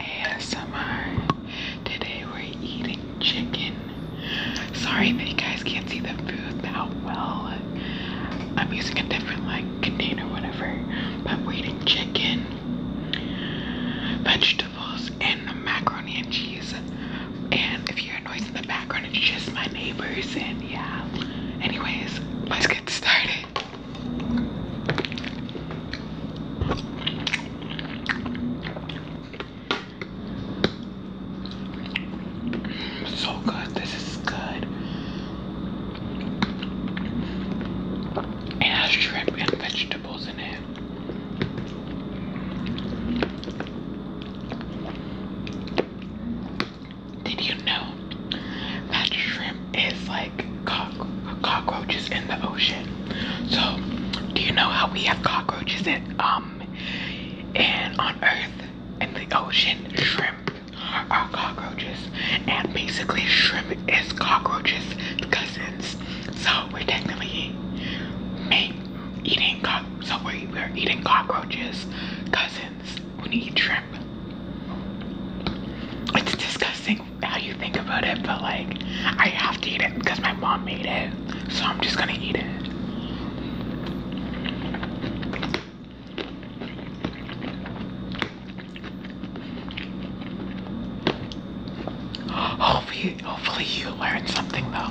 ASMR. Today we're eating chicken. Sorry that you guys can't see the food that well. I'm using a different like container, whatever. But we eating chicken, vegetables, and macaroni and cheese. And if you hear a noise in the background, it's just my neighbors. And yeah. Anyways, let's get started. So good. This is good. It has shrimp and vegetables in it. Did you know that shrimp is like cock- cockroaches in the ocean? So, do you know how we have cockroaches in um and on Earth and the ocean? Shrimp are cockroaches, and basically shrimp is cockroaches cousins. So we're technically eating cock. So we we're eating cockroaches cousins raisins when shrimp. It's disgusting how you think about it, but like, I have to eat it because my mom made it, so I'm just gonna eat it. Hopefully, hopefully you learned something though.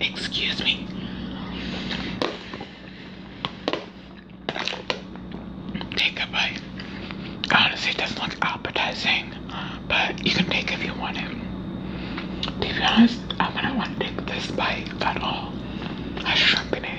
Excuse me. Take a bite. Honestly, it doesn't look appetizing, but you can take if you want it. To be honest, I wouldn't want to take this bite at all. I shrimp in it.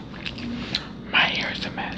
My hair is a mess.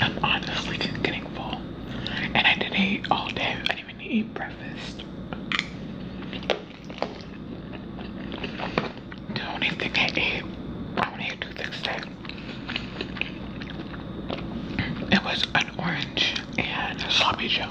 I'm honestly just getting full. And I didn't eat all day. I didn't even eat breakfast. The only thing I ate, I only ate two things today. It was an orange and a sloppy joe.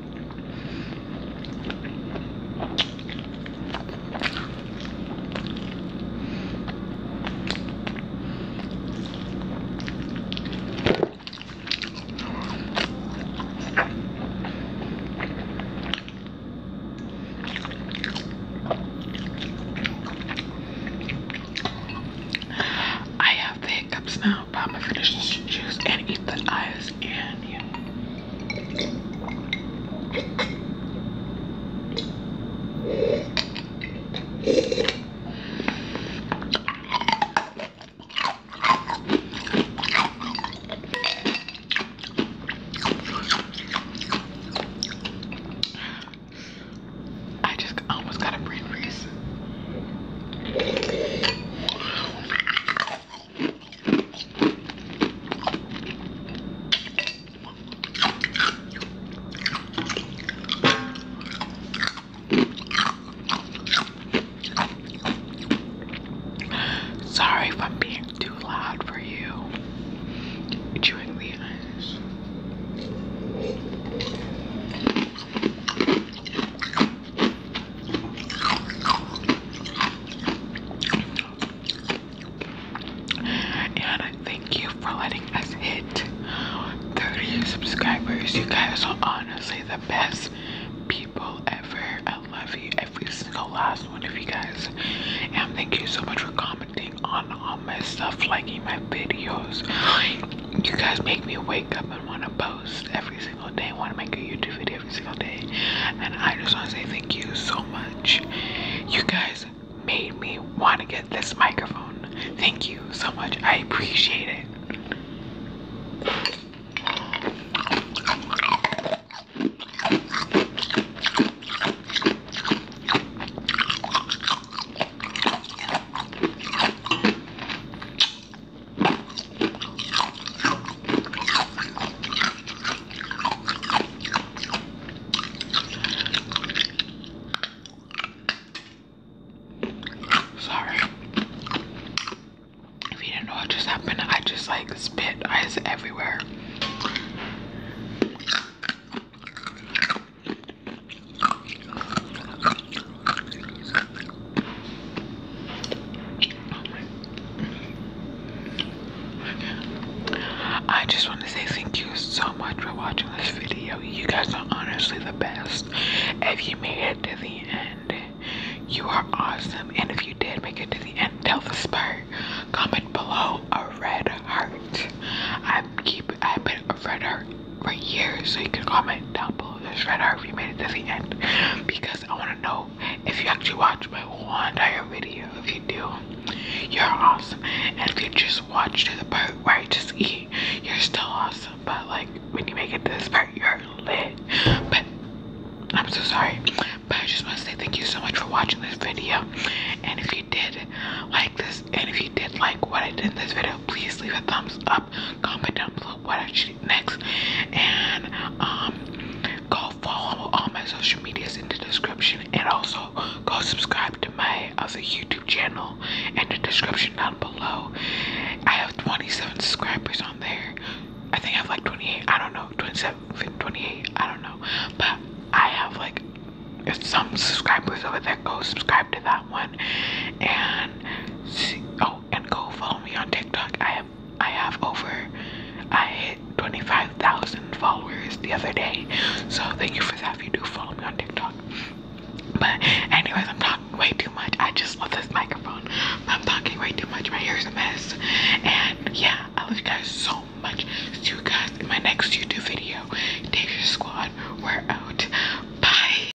I have the hiccups now, but I'm juice and eat the eyes and yeah. I just almost got a brain freeze. Sorry if I'm being too loud for you. Chewing the ice. And thank you for letting us hit 30 subscribers. You guys are honestly the best people ever. I love you, every single last one of you guys. And thank you so much for commenting on all my stuff, liking my videos. You guys make me wake up and want to post every single day, want to make a YouTube video every single day. And I just want to say thank you so much. You guys made me want to get this microphone. Thank you so much. I appreciate it. Sorry. If you didn't know what just happened, I just like spit eyes everywhere. I just want to say thank you so much for watching this video. You guys are honestly the best. If you made it to the end, you are awesome. And if you did make it to the end, tell the spur. Comment below a red heart. I keep I put a red heart for years, so you can comment down below this right now if you made it to the end because I want to know if you actually watched my whole entire video. If you do, you're awesome. And if you just watched the part where I just eat, you're still awesome. But like when you make it to this part, you're lit. But I'm so sorry. But I just want to say thank you so much for watching this video. And if you did like this, and if you did like what I did in this video, please leave a thumbs up, comment down below what I should next. And um, go follow all my social medias in the description, and also go subscribe to my other YouTube channel in the description down below. I have 27 subscribers on there. I think I have like 28. I don't know, 27, 28. I don't know, but I have like some subscribers over there. Go subscribe to that one, and see. Oh, and go follow me on TikTok. I have I have over I hit 25,000 followers the other day. So thank you for that if you do follow me on TikTok. But anyways, I'm talking way too much. I just love this microphone. I'm talking way too much. My hair's a mess. And yeah, I love you guys so much. See you guys in my next YouTube video. Danger Squad. We're out. Bye.